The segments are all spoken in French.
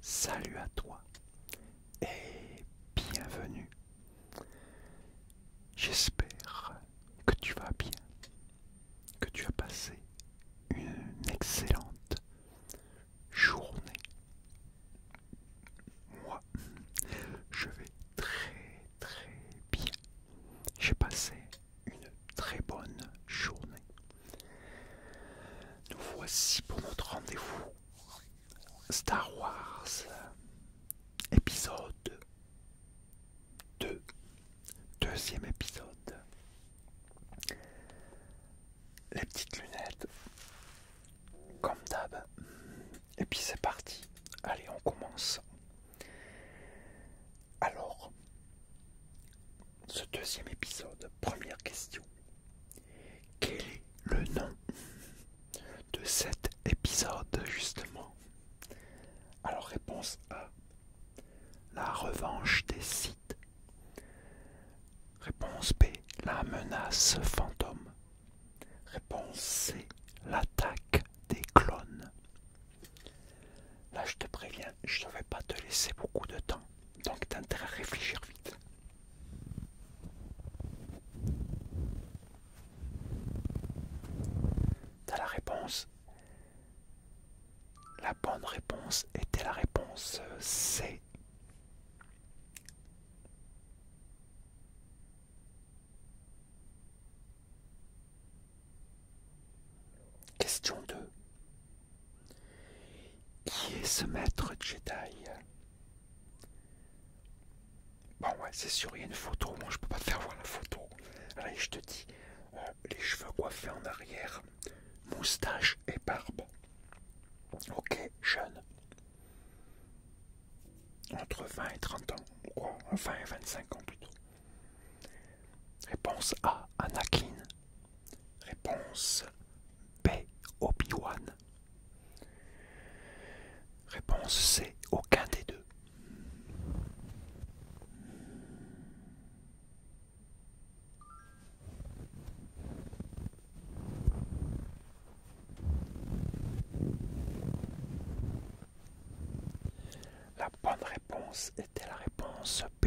salut à toi et bienvenue. J'espère que tu vas bien, que tu as passé une excellente journée. Moi, je vais très très bien. J'ai passé une très bonne journée. Nous voici pour notre rendez-vous Star Wars épisode 2. Deuxième épisode. Les petites lunettes. Comme d'hab. Et puis c'est parti. Allez, on commence. Alors, ce deuxième épisode, première question. Quel est le nom de cet épisode justement Alors réponse A. La revanche des sites. Réponse B. La menace fantôme. Réponse C. L'attaque des clones. Là, je te préviens, je ne vais pas te laisser beaucoup de temps, donc t'as intérêt à réfléchir vite. T'as la réponse. La bonne réponse était la réponse C. Question 2. Qui est ce maître Jedi Bon, ouais, c'est sûr, il y a une photo. Moi, je peux pas te faire voir la photo. Allez, je te dis, euh, les cheveux coiffés en arrière, moustache et barbe. Ok, jeune. Entre 20 et 30 ans, quoi, 20 hein, et 25 ans plutôt. Réponse A, Anakin. Réponse B, obi Réponse C, aucun des deux bonne réponse était la réponse B.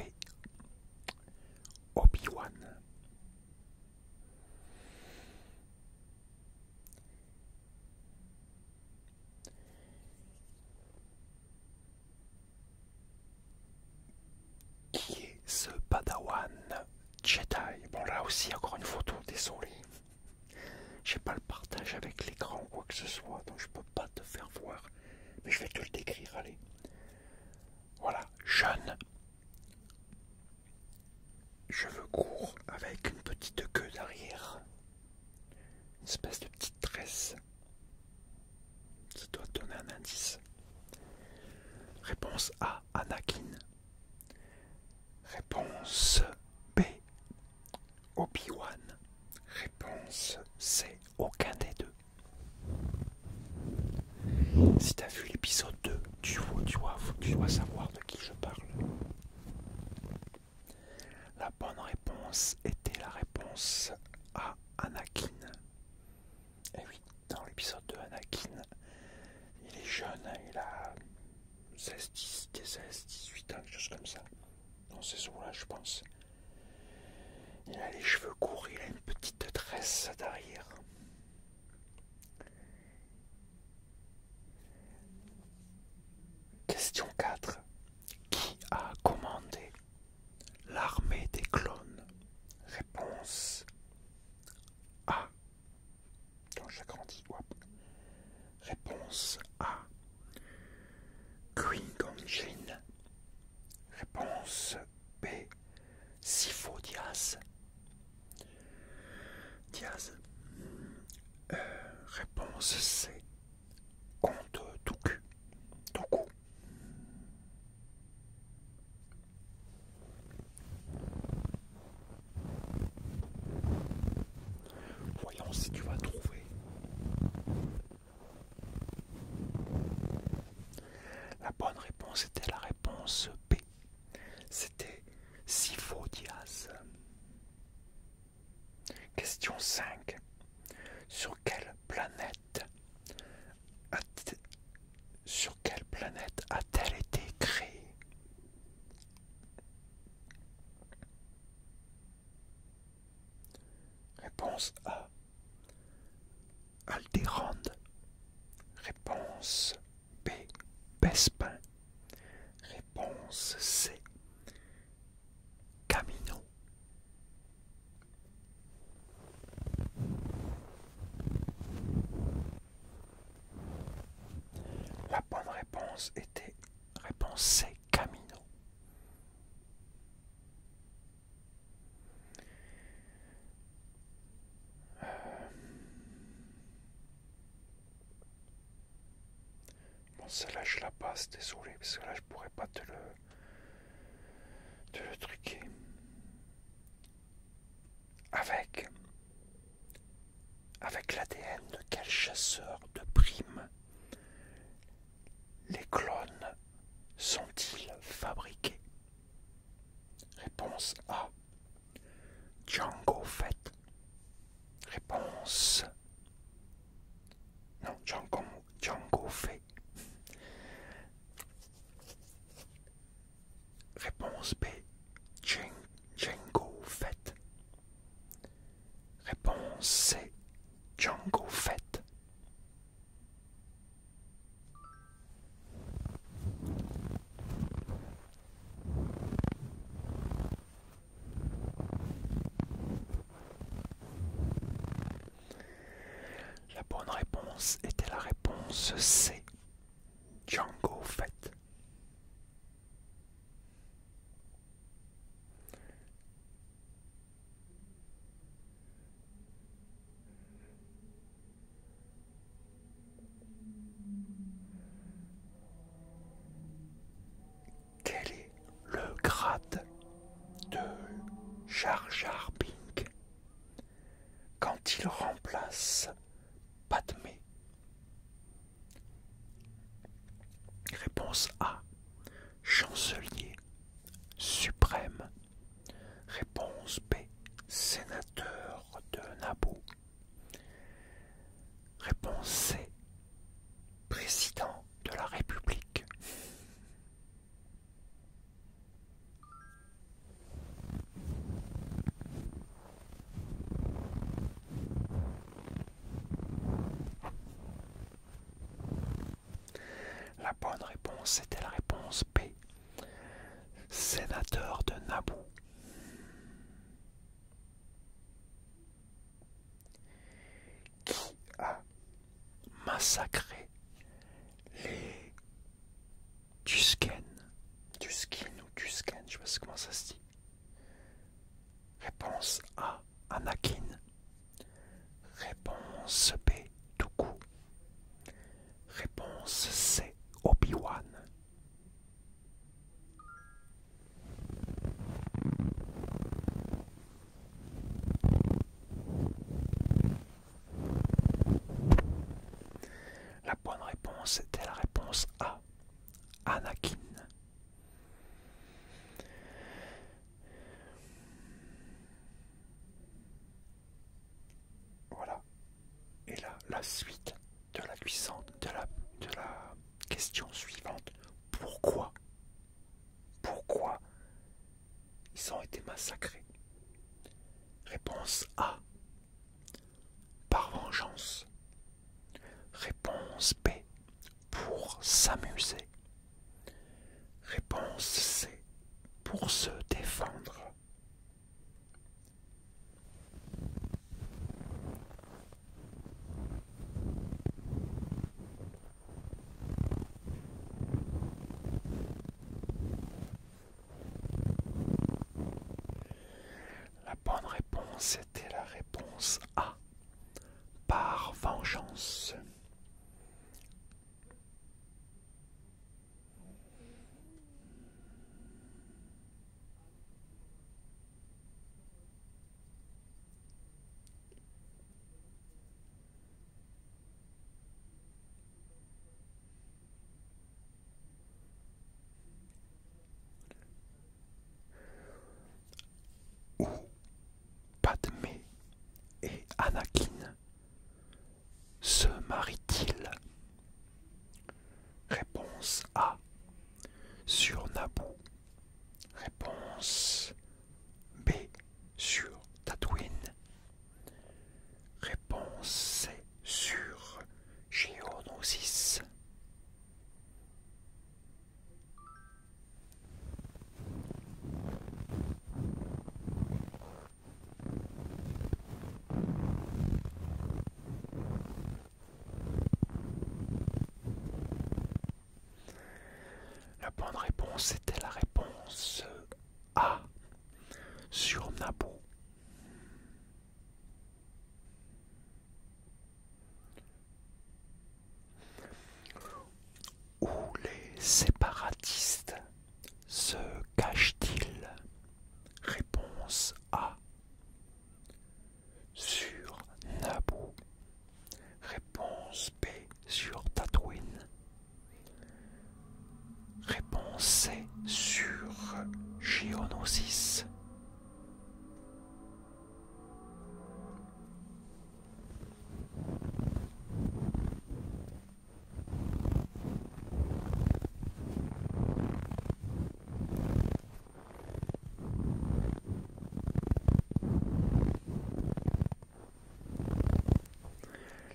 Obi-Wan. Qui est ce Padawan Jedi Bon là aussi encore une photo, désolé. Je pas le partage avec l'écran ou quoi que ce soit, donc je peux pas te faire voir. Mais je vais te le décrire, allez. Voilà, jeune. veux courts avec une petite queue derrière. Une espèce de petite tresse. Ça doit donner un indice. Réponse A, Anakin. Réponse B, Obi-Wan Réponse c'est aucun des deux. Si t'as vu l'épisode 2, tu vois, tu, tu dois savoir de qui je parle. La bonne réponse était la réponse à Anakin. Et eh oui, dans l'épisode 2, Anakin, il est jeune, il a 16, 10, 16, 18 ans, quelque chose comme ça. Dans ces eaux-là, je pense. Il a les cheveux courts, il a une petite tresse derrière. Question 4. Qui a commandé l'armée des clones Réponse A quand j'agrandis. Réponse A. Gong Jin. Réponse B. Sifo Diaz. Diaz. Euh, réponse C. Compte Toku. Toku. Voyons si tu vas trouver. La bonne réponse était la réponse B. C'était Diaz. Question 5. Sur quelle planète sur quelle planète a-t-elle été créée Réponse A. Aldérande. Réponse B. Bespin. Réponse C. Camino. La bonne réponse était réponse C, Camino. Euh, bon, celle-là, je la passe, désolé, parce que là, je pourrais pas te le, te le truquer avec, avec l'ADN de quel chasseur de primes les clones sont-ils fabriqués Réponse A. Django fait. Réponse. Non, Django, Django Réponse B. Django Fett. Réponse C. Django Fett. La bonne réponse était la réponse C. Django Fett. Quel est le grade de Jar Jar Pink quand il remplace Padmé Réponse A. Chancelier suprême. Réponse B. Sénateur de Naboo. Réponse C. Président de la République. La bonne réponse était la réponse P. Sénateur de Naboo. Qui a massacré les Tusken. Tuskin ou Tusken, je sais comment ça se dit. Réponse A, Anakin. Réponse B, Dooku. Réponse C, Obi-Wan. La bonne réponse était la réponse A. Anakin. Voilà. Et là, la suite de la de la question suivante. Pourquoi Pourquoi ils ont été massacrés Réponse A. Par vengeance. Réponse B. Pour s'amuser. Réponse C. Pour se défendre. La bonne réponse était la réponse A. Par vengeance où Padmé et Anakin se marient-ils Réponse A. Sur Naboo. Réponse B. Sur Tatooine. Réponse sur géonosis. La bonne réponse était la réponse A sur Naboo où les séparatistes se cachent-ils Réponse A. Sur Naboo. Réponse B. Sur Tatooine. Réponse C sur Gionosis.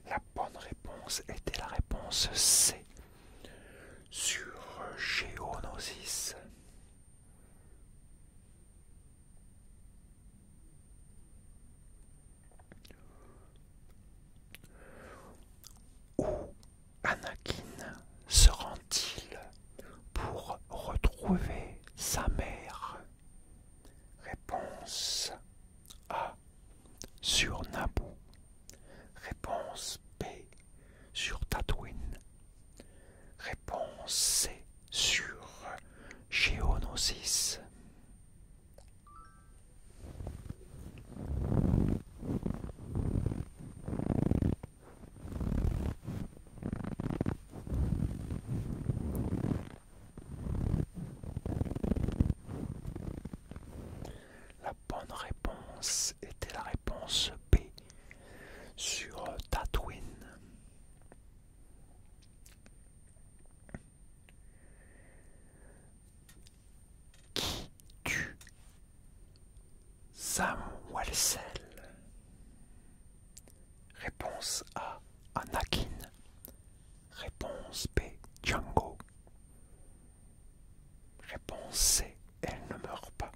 La bonne réponse était la réponse C. Sur Géonosis. Où Anakin se rend-il pour retrouver sa mère Réponse A sur Naboo. Réponse B sur Tatooine. Réponse C sur Géonosis. La bonne réponse était la réponse B sur Tatooine. Qui tue Sam Réponse A Anakin. Réponse B. Django. Réponse C. Elle ne meurt pas.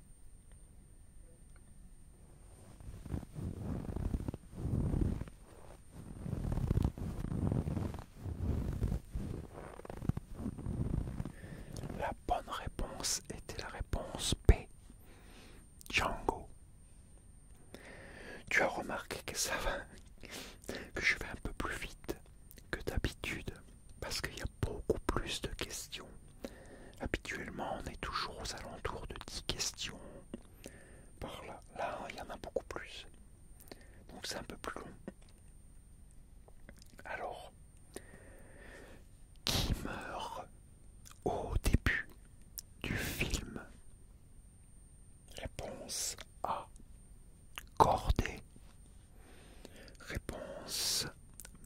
La bonne réponse était la réponse B. Django. Tu as remarqué que ça va, que je vais un peu plus vite que d'habitude, parce qu'il y a beaucoup plus de questions. Habituellement, on est toujours aux alentours de 10 questions. Par là, là, il y en a beaucoup plus. Donc c'est un peu plus long. Alors, qui meurt au début du film Réponse A. Cordée. Réponse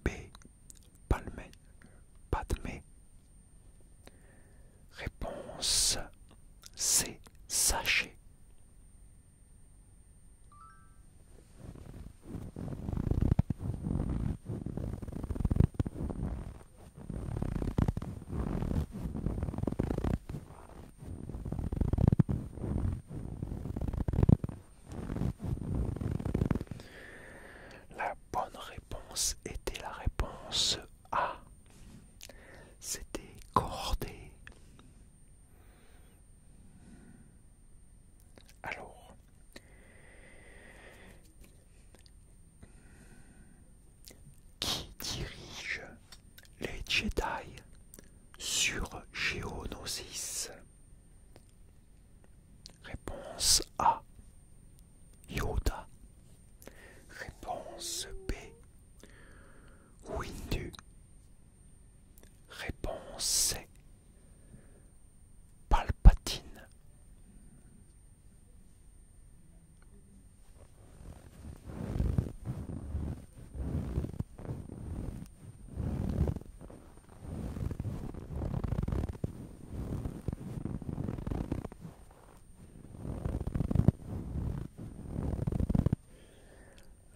B. Palmé. mais. Réponse C. Sachet. La bonne réponse était la réponse A. C'était CORDÉ. Alors, qui dirige les Jedi sur Géonosis Réponse A. Yoda. Réponse B. Windu. Réponse C. Palpatine.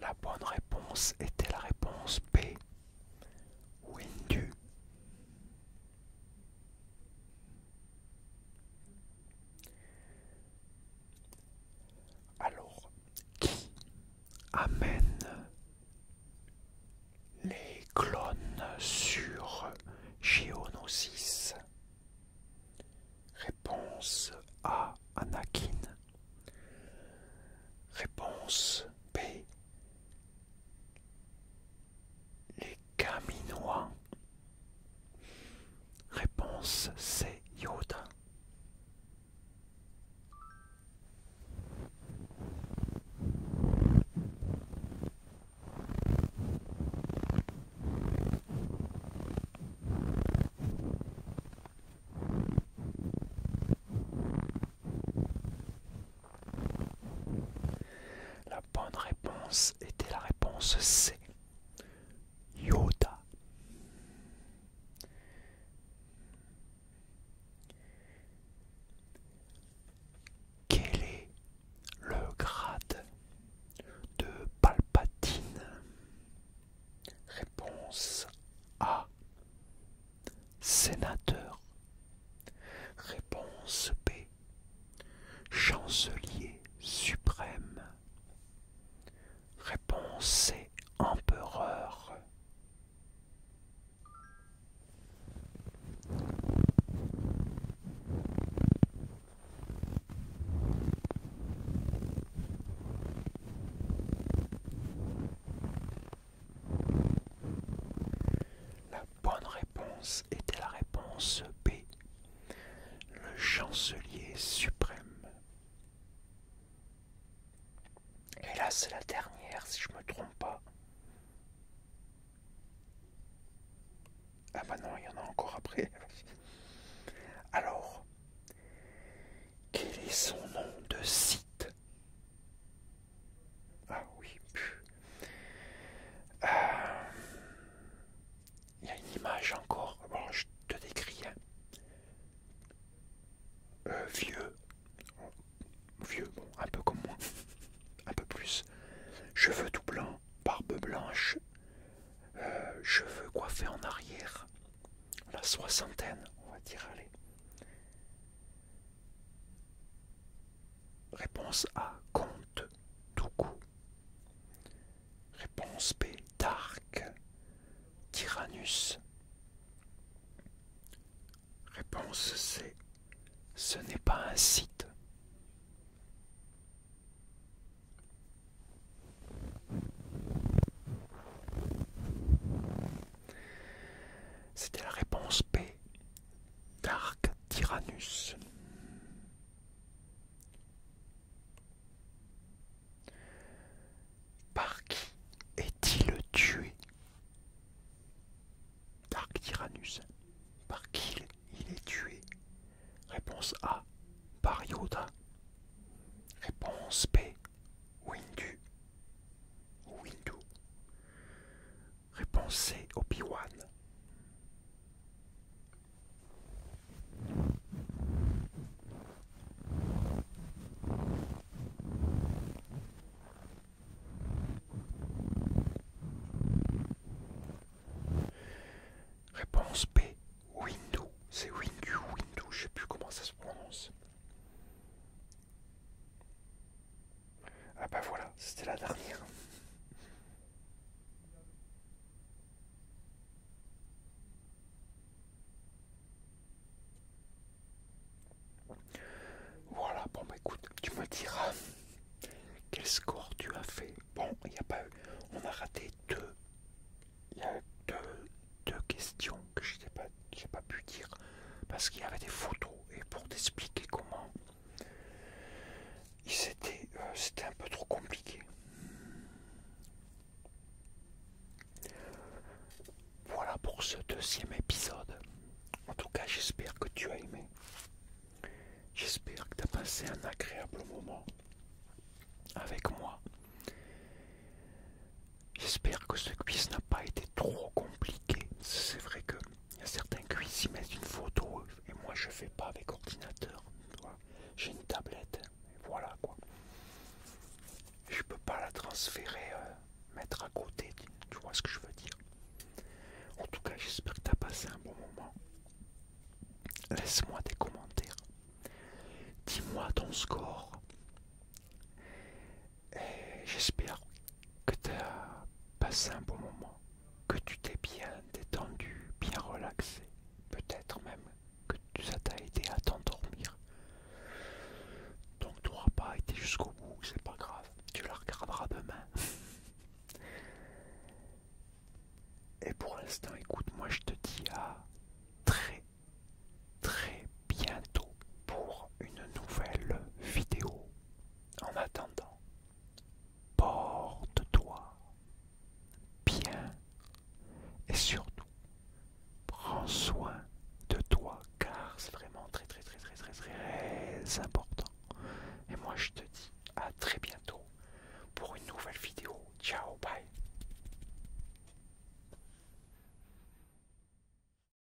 La bonne réponse était la réponse B. Windu. Alors, qui amène les clones sur Géonosis Réponse A. Anakin. Réponse B. Les Caminois. Réponse C. Yoda. La bonne réponse était la réponse C. Yoda. Quel est le grade de Palpatine Réponse A. Sénateur. Réponse B chancelier suprême. Réponse empereur bonne réponse était la réponse B, le chancelier suprême. Et là, c'est la dernière, si je me trompe pas. Ah bah non, il y en a encore après. Alors, quel est son nom de site Ah oui, pu euh, il y a une image encore, je te décris, hein. euh, vieux, vieux, bon, un peu comme moi, un peu plus, cheveux tout blancs, barbe blanche, euh, cheveux coiffés en arrière, la soixantaine, on va dire, allez. Réponse A. Compte tout coup. Réponse B. Dark. Tyrannus. Réponse C. Ce n'est pas un site. C'était la réponse B. Dark Tyrannus. Par qui est-il tué Dark Tyrannus. Par qui il est tué Réponse A. Par Yoda. Réponse B. Windu. Windu. Réponse C, Obi-Wan. Réponse B, Windu. C'est Windu, Windu, je sais plus comment ça se prononce. Ah bah voilà, c'était la dernière. Voilà, bon bah écoute, tu me diras quel score tu as fait. Bon, il n'y a pas eu. On a raté deux. Il y a deux, questions que je n'ai pas pu dire parce qu'il y avait des photos. Et pour t'expliquer comment euh, c'était un peu trop compliqué. Voilà pour ce deuxième épisode. En tout cas, j'espère que tu as aimé. J'espère que tu as passé un agréable moment avec moi. J'espère que ce quiz n'a pas été trop compliqué. C'est vrai que il y a certains qui s'y mettent une photo et moi je fais pas avec ordinateur. J'ai une tablette, voilà quoi. Je peux pas la transférer, euh, mettre à côté, tu vois ce que je veux dire. En tout cas, j'espère que tu as passé un bon moment. Laisse-moi des commentaires. Dis-moi ton score. Et j'espère que tu as passé un bon moment, que tu t'es bien détendu, bien relaxé, peut-être même que ça t'a aidé à t'endormir. Donc tu n'auras pas été jusqu'au bout, c'est pas grave, tu la regarderas demain. Et pour l'instant, écoute, moi je te dis à très très bientôt pour une nouvelle vidéo. En attendant, porte-toi bien et surtout, prends soin de toi car c'est vraiment très très très très très très important. Et moi je te dis à très bientôt pour une nouvelle vidéo. Ciao, bye